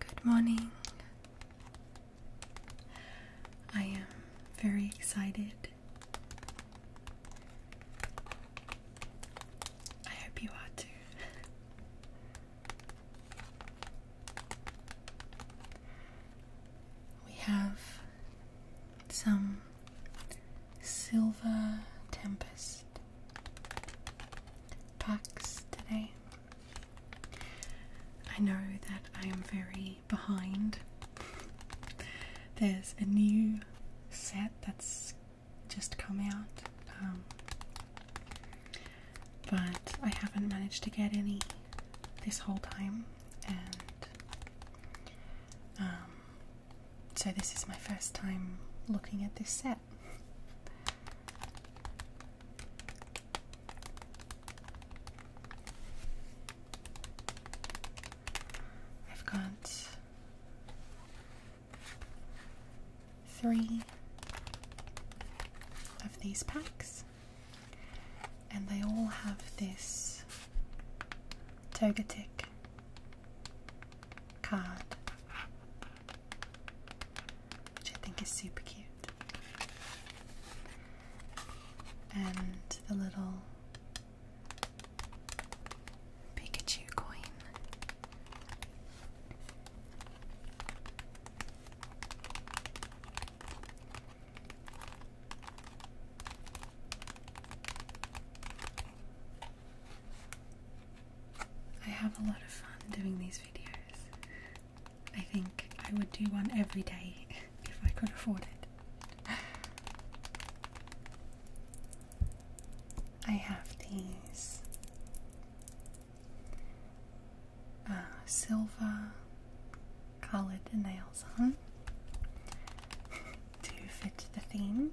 Good morning. I am very excited. I hope you are too. we have some silver tempest packs today. I know that I am very behind. There's a new set that's just come out, um, but I haven't managed to get any this whole time, and um, so this is my first time looking at this set. I've got three of these packs, and they all have this Togetic card which I think is super cute. And the little Pikachu coin. I have a lot of fun doing these videos. I think I would do one every day if I could afford it. I have these uh, silver coloured nails on to fit the theme.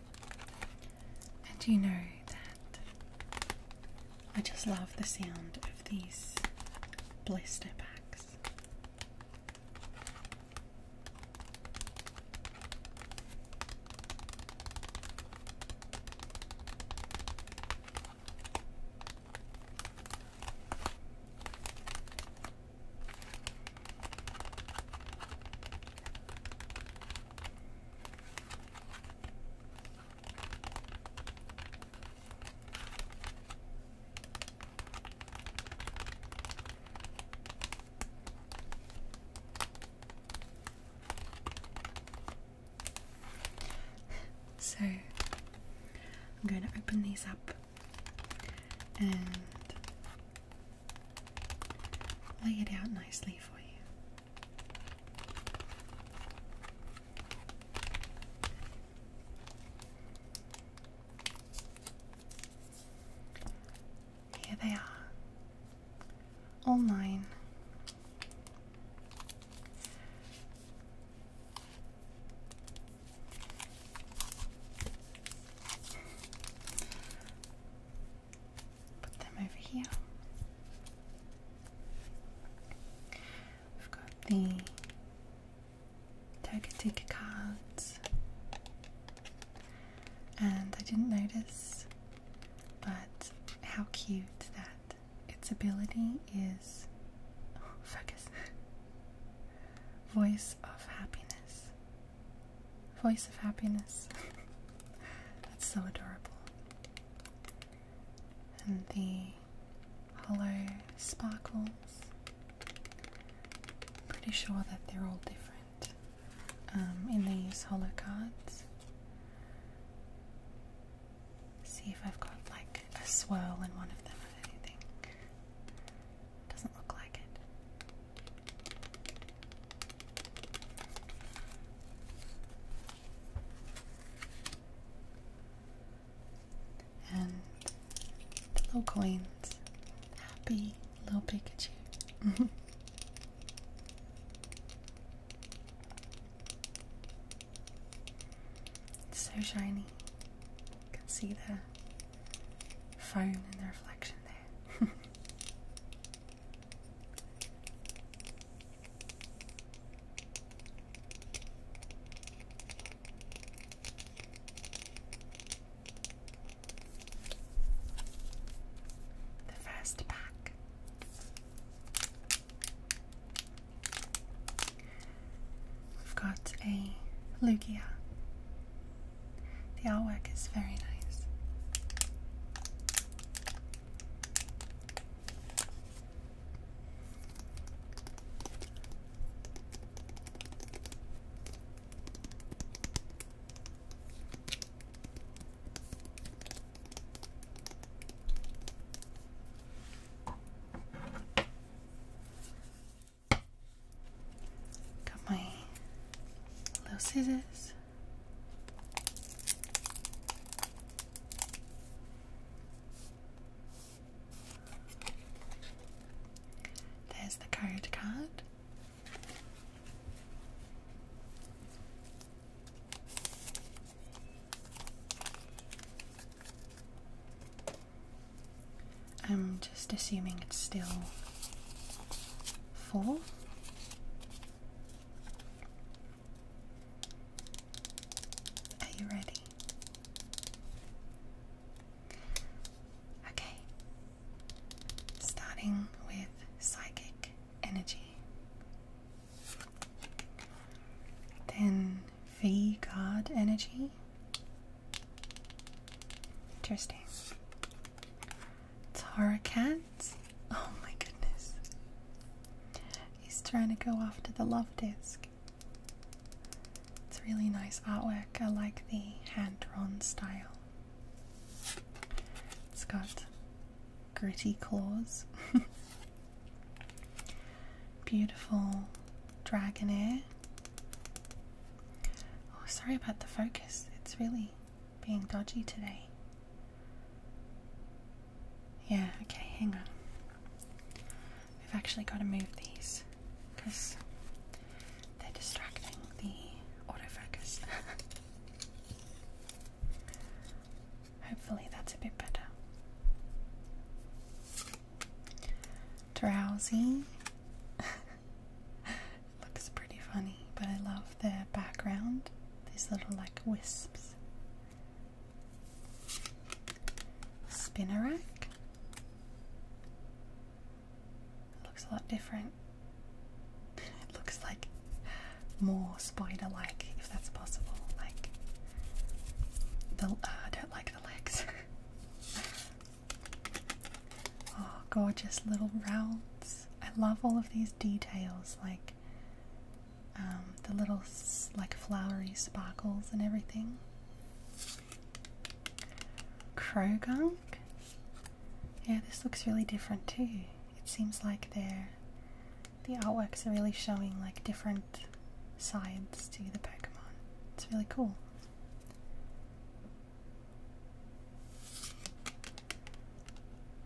And you know that I just love the sound of these blister packs. So I'm going to open these up and lay it out nicely for you. Here they are, all nine put them over here. We've got the Togetic cards, and I didn't notice, but how cute that its ability is focus voice of happiness. Voice of happiness. That's so adorable. And the hollow sparkles. Pretty sure that they're all different um, in these hollow cards. See if I've got like a swirl in one of them or anything. Doesn't look like it. And little coins. Happy little Pikachu. it's so shiny. You can see the phone in the reflection there. The first pack we've got a Lugia, the artwork is very nice. Got my little scissors. There's the code card. I'm just assuming it's still full. Are you ready? Okay. Starting with psychic energy. Then V card energy. Interesting. Tara Cat. Oh my goodness. He's trying to go after the love disc. It's really nice artwork. I like the hand drawn style. It's got gritty claws. Beautiful dragon dragonair. Oh, sorry about the focus. It's really being dodgy today. Yeah, okay, hang on. We've actually got to move these because they're distracting the autofocus. Hopefully, that's a bit better. Drowsy. it looks pretty funny, but I love the background. These little like wisps. Spinnerack. looks a lot different. looks like more spider-like, if that's possible. Like the uh, I don't like the legs. Oh, gorgeous little rounds. I love all of these details, like um, the little like flowery sparkles and everything. Krogunk? Yeah, this looks really different too. It seems like they're the artworks are really showing like different sides to the Pokemon. It's really cool.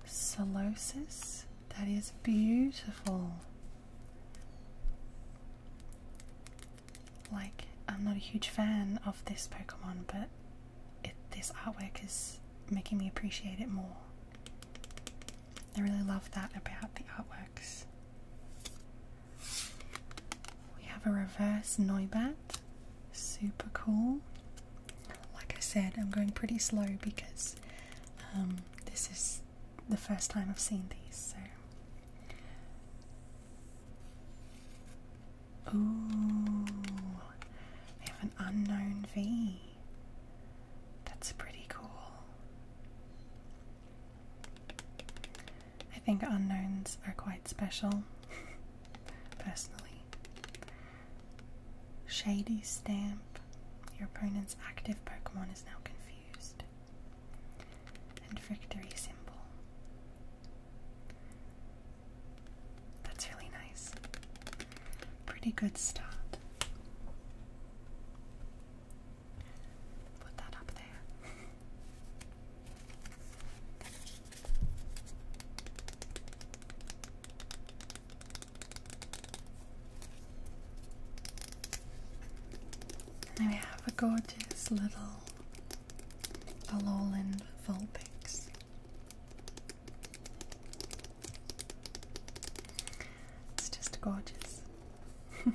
Solosis. That is beautiful. Like, I'm not a huge fan of this Pokemon, but this artwork is making me appreciate it more. I really love that about the artworks. We have a reverse Noibat. Super cool. Like I said, I'm going pretty slow because um, this is the first time I've seen these, so. Ooh, we have an unknown V. That's pretty cool. I think unknowns are quite special. personally. Shady Stamp. Your opponent's active Pokemon is now confused. And Victory Symbol. That's really nice. Pretty good start. Put that up there. we have a gorgeous little a Alolan Vulpix. It's just gorgeous.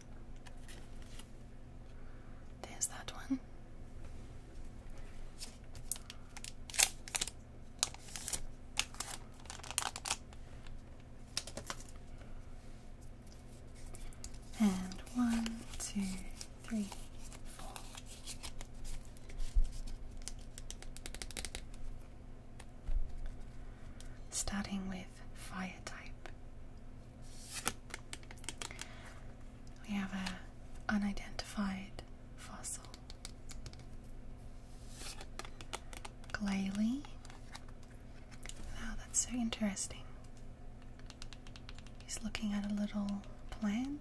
There's that one. And one, two, three, four. Starting with fire type. We have an unidentified fossil. Glalie. Wow, that's so interesting. He's looking at a little plant.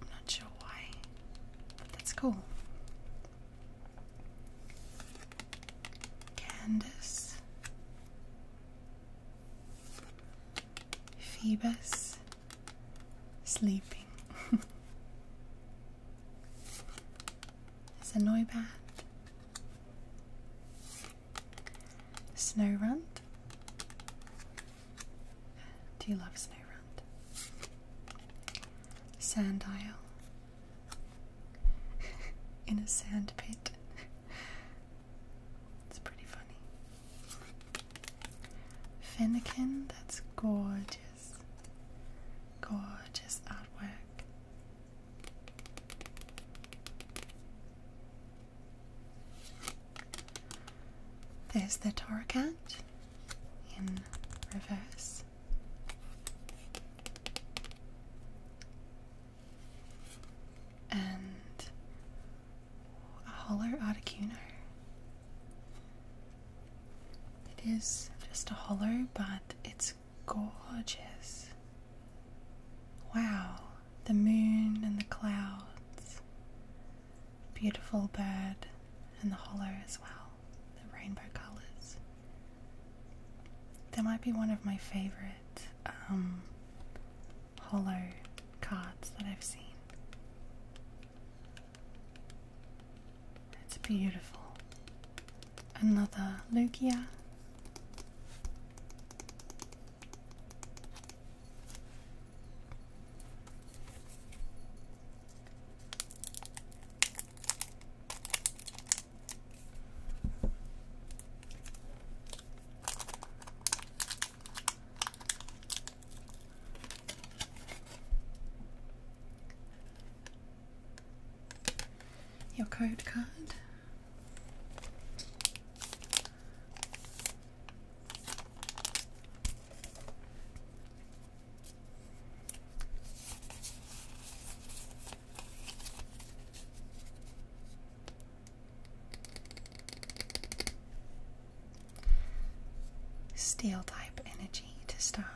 I'm not sure why, but that's cool. Candace. Phoebus sleeping. There's a Noibat, Snow run. Do you love Snow Runt? Sand Isle, in a sand pit. it's pretty funny. Fennekin, that's gorgeous. Gorgeous artwork. There's the Torcat in reverse and Holler Articuno. It is just a hollow, but it's gorgeous. Wow, the moon and the clouds. Beautiful bird and the hollow as well, the rainbow colours. That might be one of my favorite um, hollow cards that I've seen. It's beautiful. Another Lugia. Your code card. Steel type energy to start.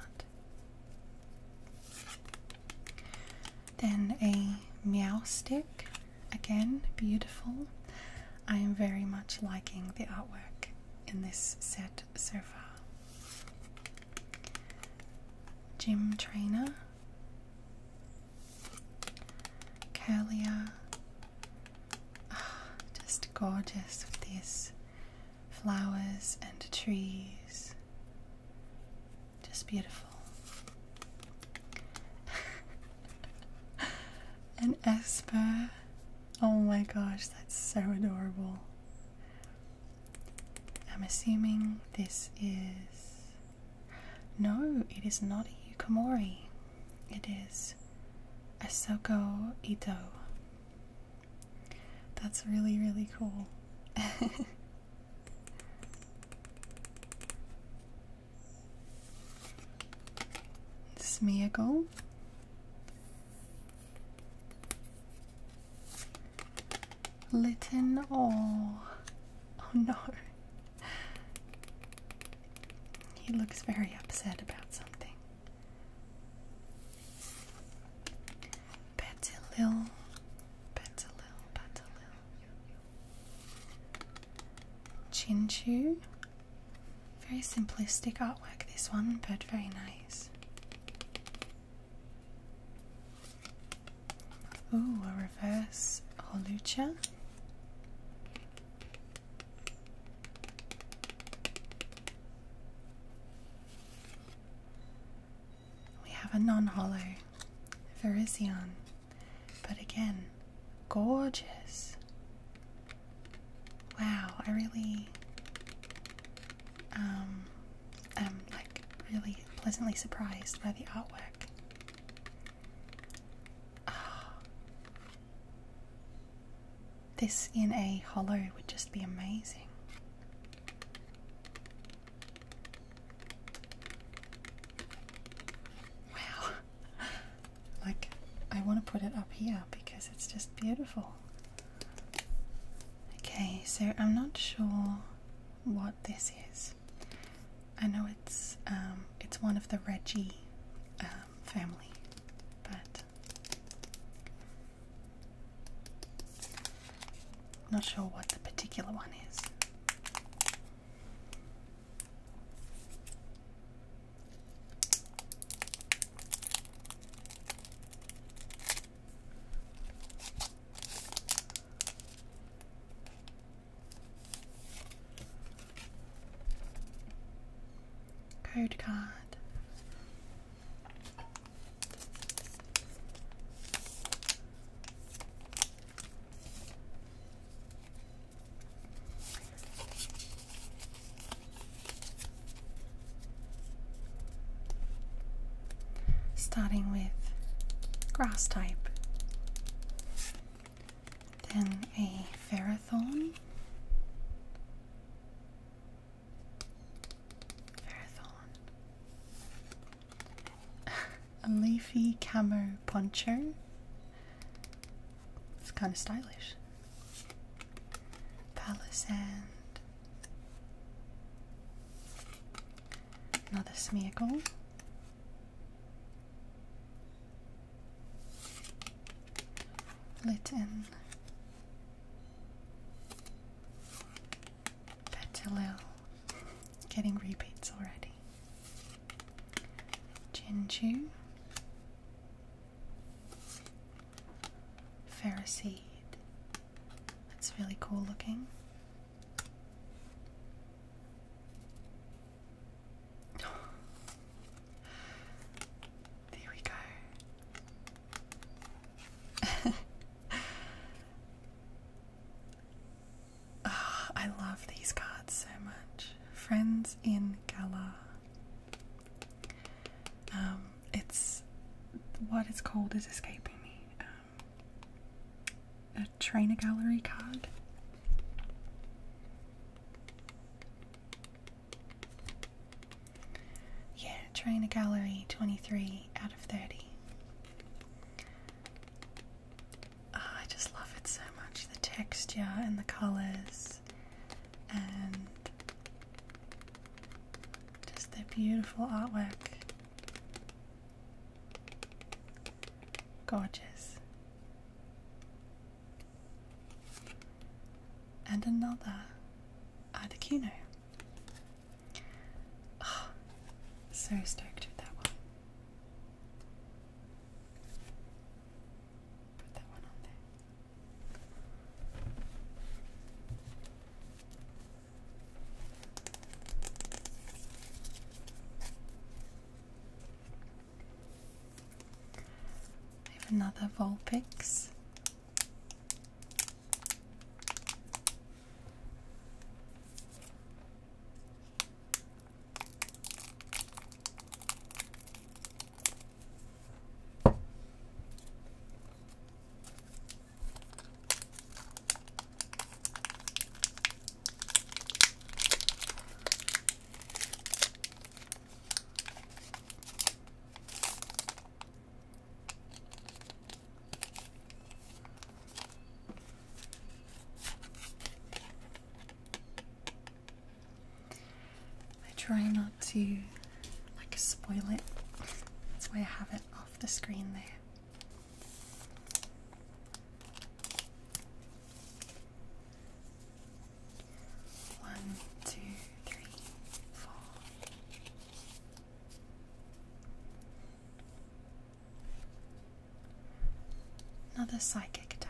Then a meow stick, again beautiful. I am very much liking the artwork in this set so far. Gym trainer, Kalia. Ah, just gorgeous with these flowers and trees. Just beautiful. And Esper. Oh my gosh, that's so adorable. I'm assuming this is. No, it is not a Yukomori. It is Asoko Ito. That's really, really cool. me Smeagol. Litten oh oh no He looks very upset about something. Petalil, petalil, Betilil Chinchu very simplistic artwork this one but very nice. Ooh, a reverse Holucha. We have a non-hollow Virizion, but again, gorgeous. Wow, I really um, I'm like really pleasantly surprised by the artwork. Ah. This in a hollow would just be amazing. Wow. like, I want to put it up here because it's just beautiful. Okay, so I'm not sure what this is. I know it's um, it's one of the Reggie um, family, but not sure what the particular one is. Code card starting with grass type, then a ferrothorn. Ferrothorn. a leafy camo poncho. It's kind of stylish. Palisand. Another Smeargle. Litten. Petalil. Getting repeats already. Jinju. Ferroseed. That's really cool looking there we go. Oh, I love these cards so much. Friends in Gala. Um, it's what it's called is escaping me. Um, a train a gallery card. Yeah, train a gallery 23 out of 30. Ah, I just love it so much the texture and the colours and just the beautiful artwork. Gorgeous. And another Articuno. Oh, so stoked with that one. Put that one on there. I have another Volpix. I try not to like spoil it. That's why I have it off the screen there. One, two, three, four. Another psychic type.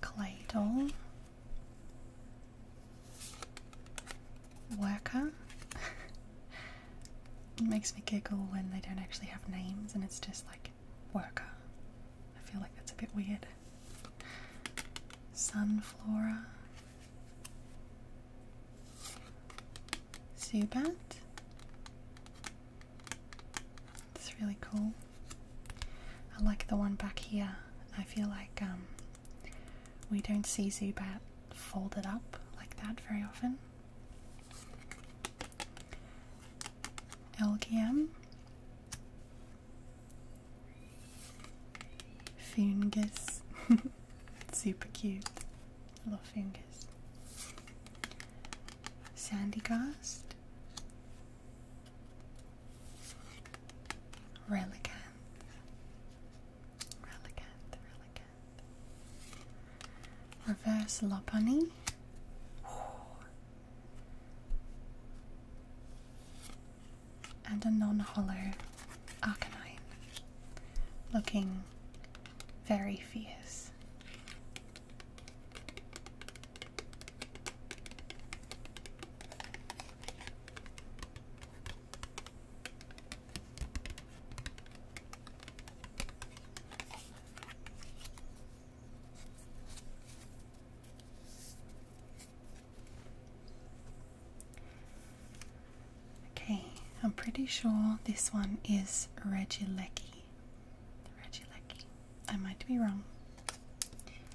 Clay doll, Worker. it makes me giggle when they don't actually have names and it's just like worker. I feel like that's a bit weird. Sunflora. Zubat. That's really cool. I like the one back here. I feel like um, we don't see Zubat folded up like that very often. Elgium, Fungus, super cute. little love Fungus. Sandy Cast, Relicant. Relicant, Relicant. Reverse Lopunny. And a non-hollow Arcanine. Looking very fierce. Okay, I'm pretty sure this one is Reggie Reggie Regilecki. I might be wrong.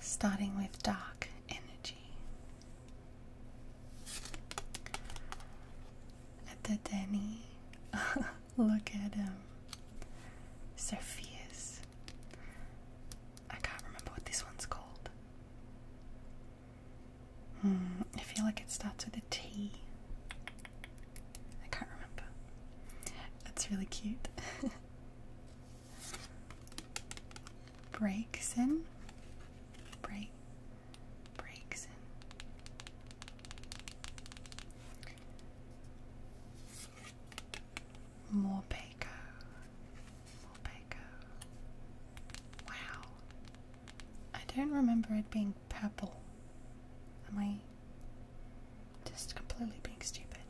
Starting with dark energy. At the Denny, look at him. Um, so I can't remember what this one's called. Hmm, I feel like it starts with a T. I can't remember. That's really cute. breaks in. Break. Breaks in. More Baco. More Baco. Wow. I don't remember it being purple. Am I just completely being stupid?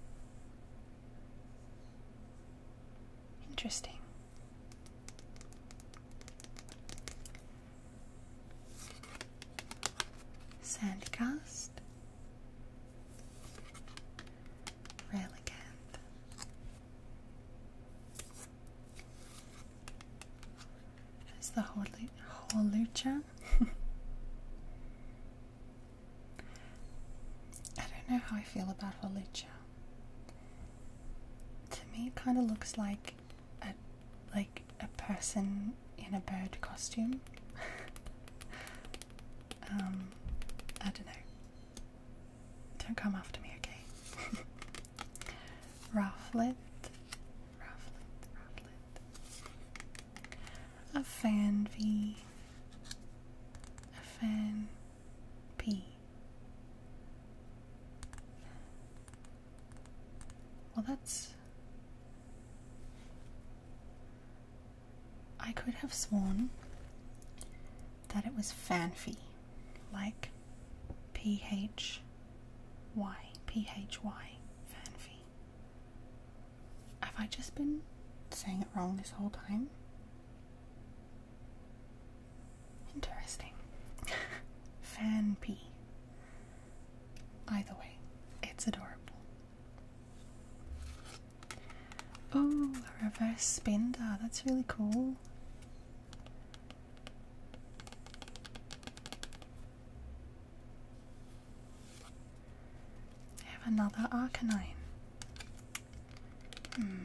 Interesting. Sandcast, Relicanth, Is the whole, whole lucha. I don't know how I feel about Holicha. To me, it kind of looks like a like a person in a bird costume. um, I don't know. Don't come after me, okay? Rufflet. Rufflet, Rufflet. A fan V. A fan P. Well, that's. I could have sworn that it was fanfy, like P H Y, P H Y, fanfy. Have I just been saying it wrong this whole time? Interesting. Fanpy. Either way, it's adorable. Oh, reverse spender. That's really cool. I have another Arcanine. Hmm.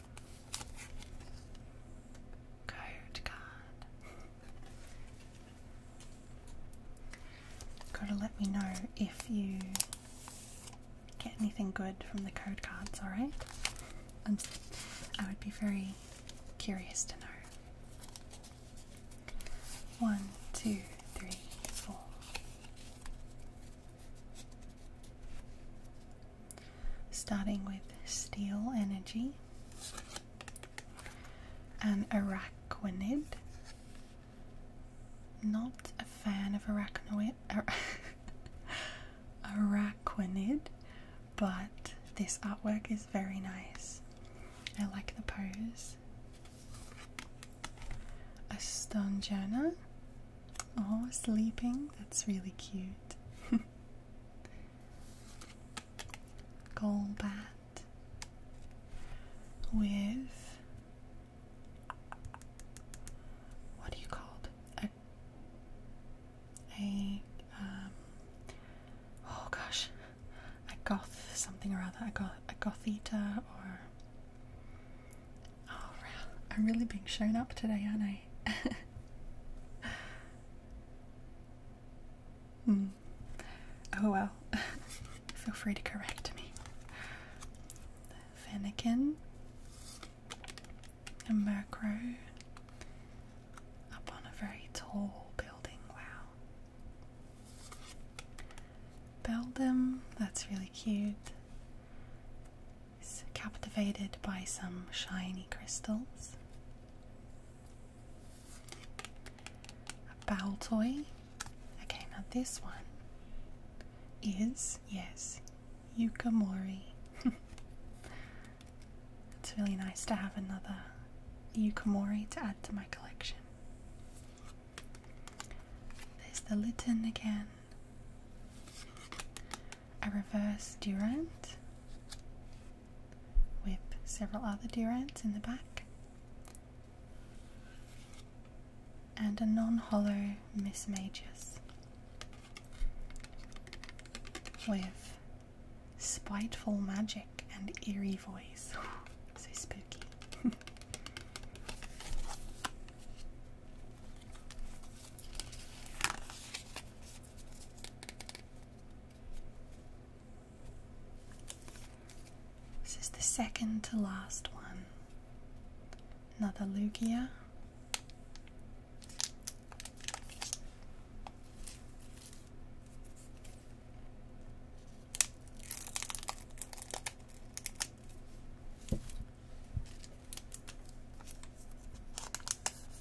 Code card. Gotta let me know if you get anything good from the code cards, alright? I would be very curious to know. One, two, three, four starting with steel energy, and arachnoid. Not a fan of arachnoid, arachnoid, but this artwork is very nice. I like the pose. A stone journal. Oh, sleeping. That's really cute. bat with what do you call A, a um, oh gosh, a goth something or other, a goth, a goth eater or oh, I'm really being shown up today, aren't I? Hmm. Oh well. Feel free to correct me. Finnegan. and macro. Up on a very tall building. Wow. Belgium. That's really cute captivated by some shiny crystals. A bowl toy. Okay, now this one is, yes, Yukamori. it's really nice to have another Yukamori to add to my collection. There's the Litten again a reverse Durand, with several other Durands in the back, and a non hollow Miss Magus with spiteful magic and eerie voice. so spooky. This is the second to last one. Another Lugia.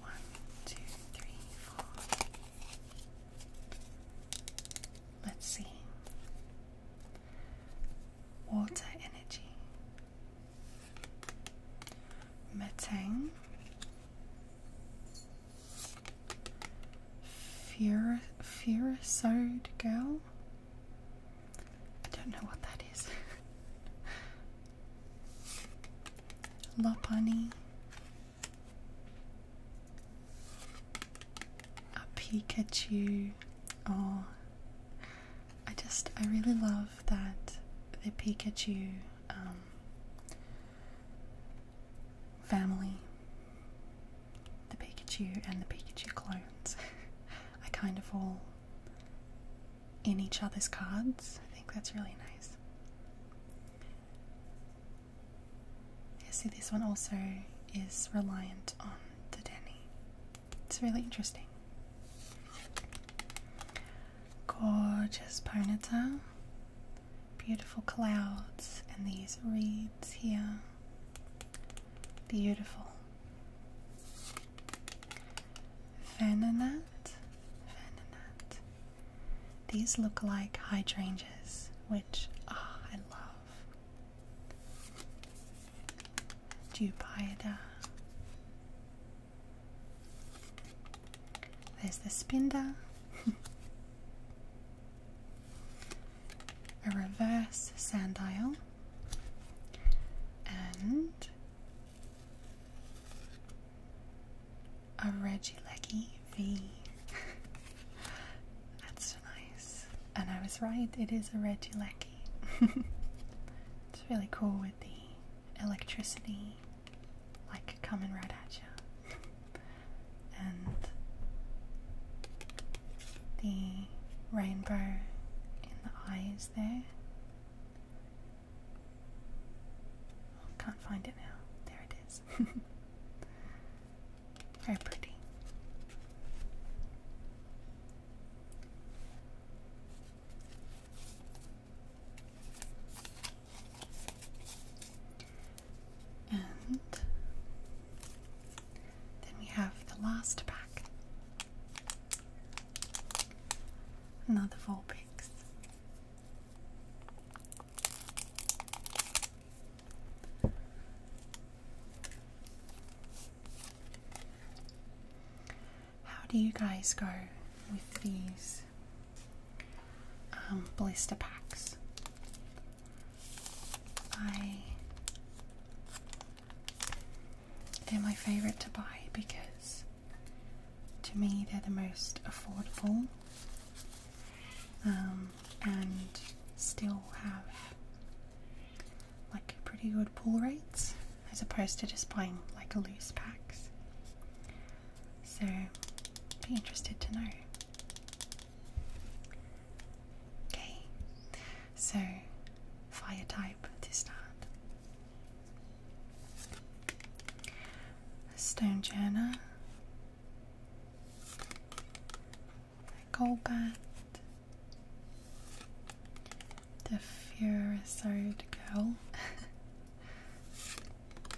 One, two, three, four. Let's see. Water energy. Metang. Fur girl. I don't know what that is. Lopani, a Pikachu. Oh, I just, I really love that the Pikachu um, family, the Pikachu and the Pikachu clones, are kind of all in each other's cards. I think that's really nice. Yeah, see, this one also is reliant on the Denny. It's really interesting. Gorgeous Ponyta. Beautiful clouds and these reeds here. Beautiful. Vananat. These look like hydrangeas, which ah, I love. Dubiata. Uh? There's the spinda. A reverse sandile and a Reggie Leggy V. That's so nice. And I was right, it is a Reggie Leggy. it's really cool with the electricity like coming right at you. and the rainbow in the eyes there. Oh, can't find it now. There it is. Very pretty. And then we have the last pack. Another Volpe how do you guys go with these um, blister packs? I they're my favourite to buy because to me they're the most affordable um, and still have like pretty good pull rates as opposed to just buying like loose packs. So be interested to know. Okay, so fire type to start a stone jana, a gold bat, the furious old girl,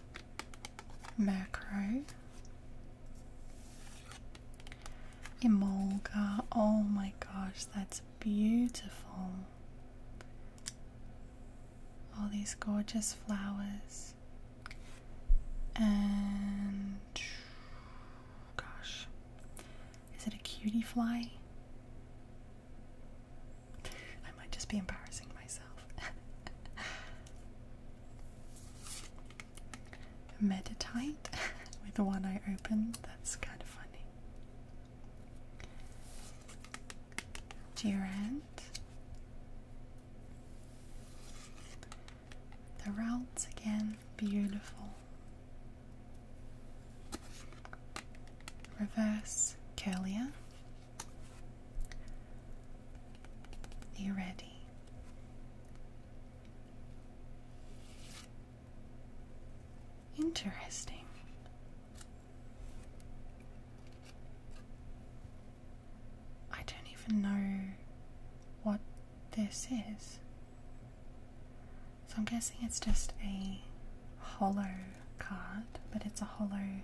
Macro, Emolga. Oh my gosh, that's beautiful all these gorgeous flowers and gosh is it a cutie fly i might just be embarrassing myself meditite with one eye open that's kind of funny Durant. The routes again, beautiful. Reverse curlier. you ready? Interesting. I don't even know what this is. So I'm guessing it's just a hollow card, but it's a hollow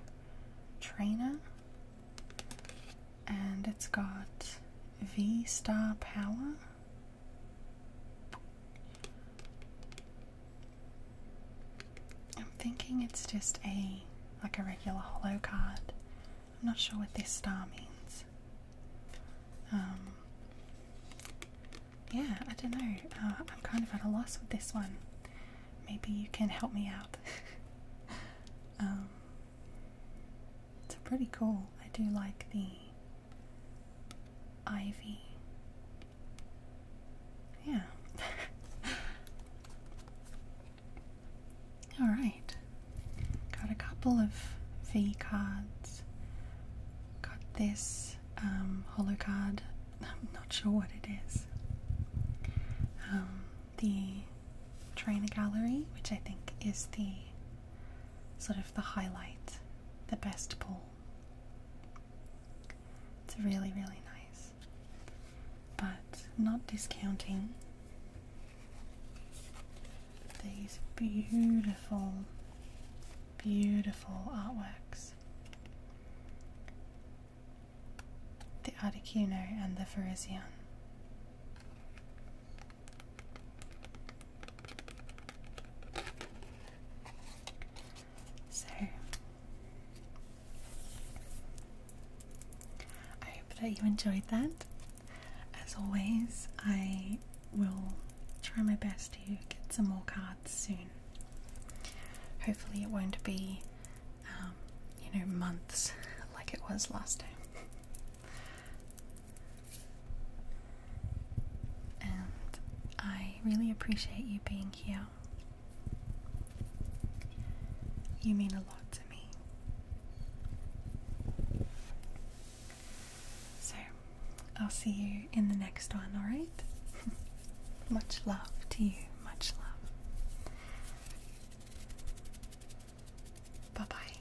trainer and it's got V star power I'm thinking it's just a like a regular hollow card. I'm not sure what this star means. Um, yeah, I don't know. Uh, I'm kind of at a loss with this one. Maybe you can help me out. um, it's pretty cool. I do like the Ivy. Yeah. All right. Got a couple of V cards. Got this um, card. I'm not sure what it is. Um, the trainer gallery, which I think is the sort of the highlight, the best pull it's really, really nice. But not discounting these beautiful, beautiful artworks. The Articuno and the Ferisian. So I hope that you enjoyed that. As always, I will try my best to get some more cards soon. Hopefully, it won't be, um, you know, months like it was last time and I really appreciate you being here. You mean a lot to me. So, I'll see you in the next one, alright? much love to you, much love. Bye bye.